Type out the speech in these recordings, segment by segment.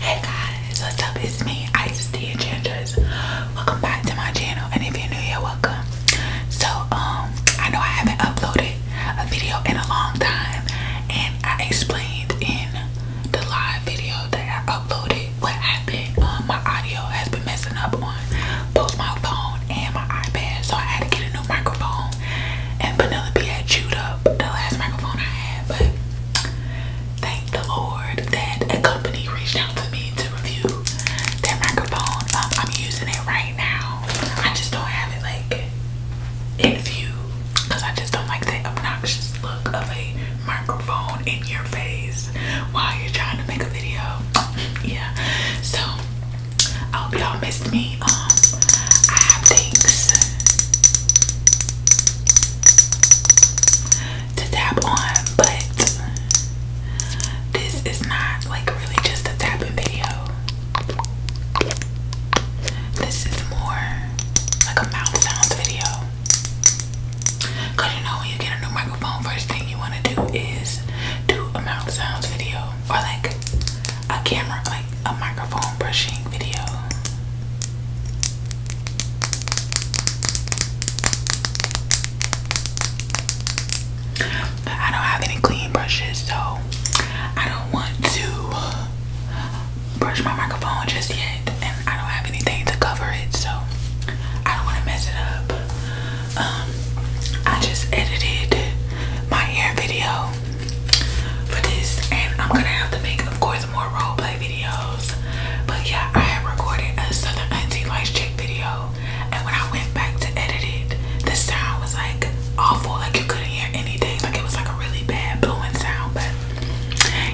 Hey guys, what's up? It's me, Isis the Enchantress. Welcome back to my channel, and if you're new here, welcome. So, um, I know I haven't uploaded a video in a long time, and I explained in the live video that I uploaded what happened. Um, my audio has been messing up on both my phone and my iPad, so I had to get a new microphone. And Penelope had chewed up the last microphone I had, but thank the Lord that a company reached out to me to review that microphone. Um, I'm using it right now. I just don't have it like in view because I just don't like the obnoxious look of a microphone in your face while you're trying to make a video. yeah. So I hope y'all missed me. Um, I have things uh, to tap on, but this is not like really just a tapping video. This is more like a mouth sounds video. Cause you know when you get a new microphone, first thing you want to do is do a mouth sounds video or like a camera, like a microphone brushing video. But I don't have any clean brushes, so I don't want to brush my microphone just yet, and I don't have anything to cover it, so I don't want to mess it up. Um, I just edited my hair video for this and I'm gonna have to make of course more role videos but yeah I had recorded a Southern Auntie Lights Check video and when I went back to edit it the sound was like awful like you couldn't hear anything like it was like a really bad blowing sound but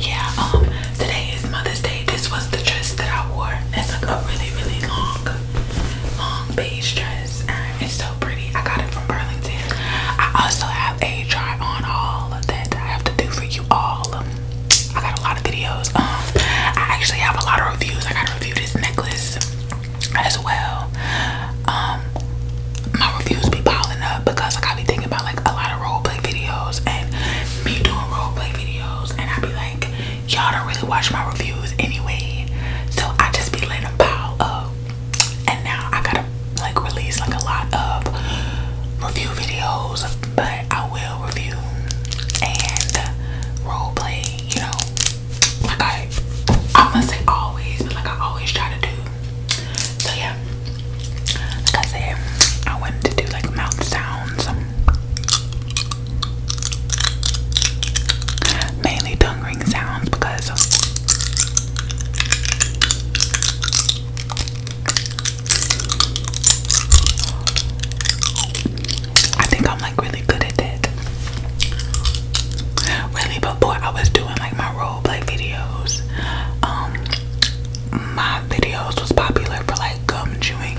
yeah um today is Mother's Day this was the dress that I wore it's like a really really long long beige dress it's so pretty. I got it from Burlington. I also have a try on all that I have to do for you all. I got a lot of videos. Um, I actually have a lot of reviews. I got to review this necklace as well. Um, my reviews be piling up because I gotta be thinking about like a lot of roleplay videos and me doing roleplay videos and I be like, y'all don't really watch my reviews anyway. So I just be letting them pile up and now I gotta like release like a lot of review videos, but I will review and role play, you know. Like I I'm gonna say always, but like I always try to do. So yeah. Like I said, I wanted to do like mouth sounds. Mainly tongue because I think I'm like really good at that. Really before I was doing like my role play videos, um my videos was popular for like gum chewing.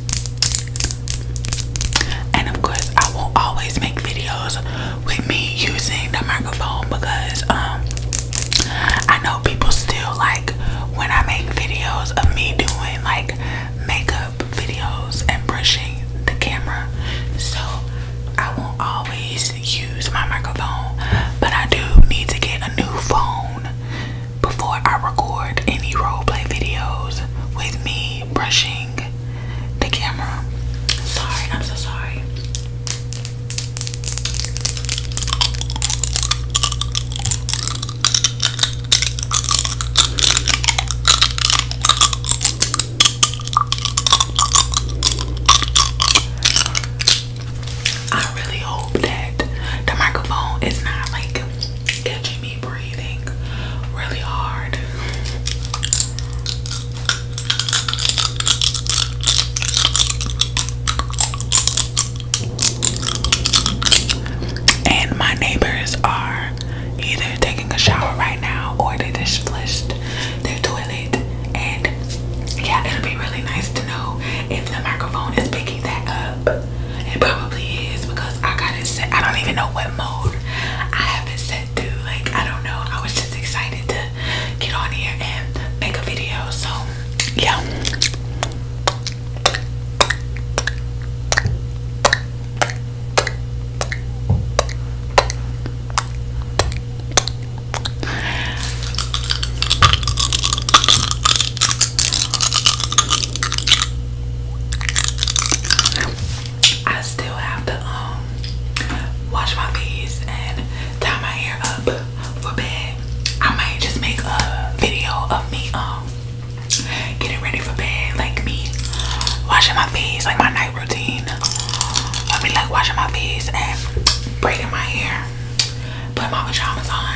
And of course, I will always make videos with me using the microphone because um I know people still like when I make videos of me doing like makeup videos and brushing the camera. So I won't always use my microphone, but I do need to get a new phone before I record any roleplay videos with me me brushing the camera. Sorry, I'm so sorry. I really hope that the microphone is not like catching me breathing really hard. And my neighbors are either taking a shower right now or they just flushed their toilet. And yeah, it'll be really nice to know if the microphone is picking that up. It probably is because I got it set. I don't even know what mode I have it set to. Like, I don't know. I was just excited to get on here and make a video. So, yeah. I still have to um wash my face and tie my hair up for bed. I might just make a video of me um getting ready for bed, like me washing my face, like my night routine. I mean like washing my face and braiding my hair, putting my pajamas on.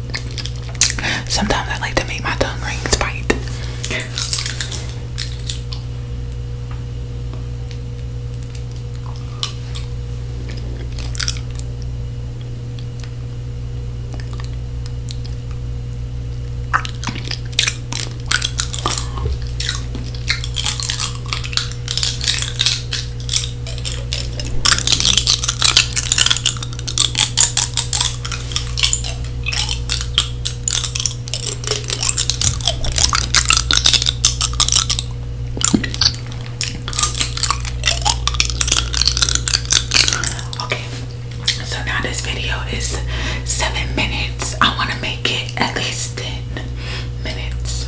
Sometimes I like to make my tongue rings bite. Okay, so now this video is seven minutes. I want to make it at least ten minutes.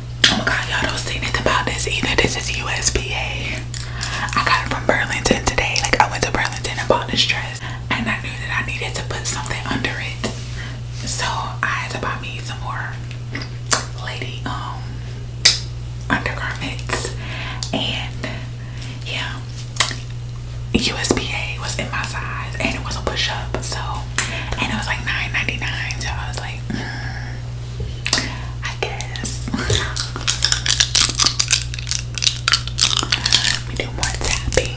Oh my god, y'all don't see anything about this either. This is USPA. I got it from Burlington today. Like I went to Burlington and bought this dress and I knew that I needed to put something under it. So I had to buy me some more lady um undergarments and yeah USPA was in my size and it was a push-up so and it was like nine ninety nine, so I was like mm, I guess let me do more tapping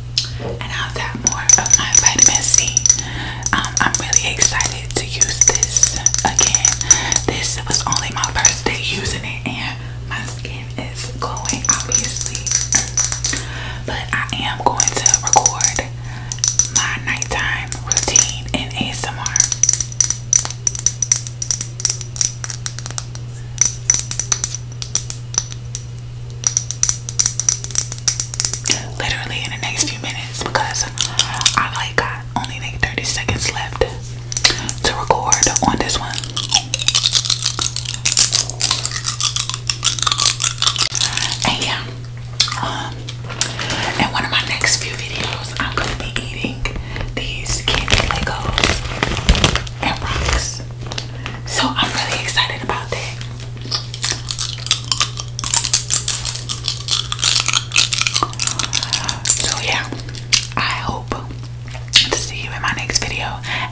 and I'll more of my vitamin C. Um, I'm really excited to use this again. This was only my first day using it, and my skin is glowing, obviously. But I am going to record my nighttime routine in ASMR literally in the next few minutes because I like got only like 30 seconds left to record on this one. And yeah, um, in one of my next few videos, I'm gonna be eating these candy Legos and rocks. So I'm really excited about that. So yeah, I hope to see you in my next video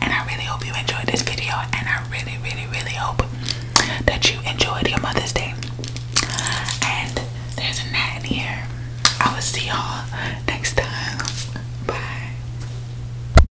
and I really hope you enjoyed this video and I really really really hope that you enjoyed your Mother's Day. And there's a gnat in here. I will see y'all next time. Bye.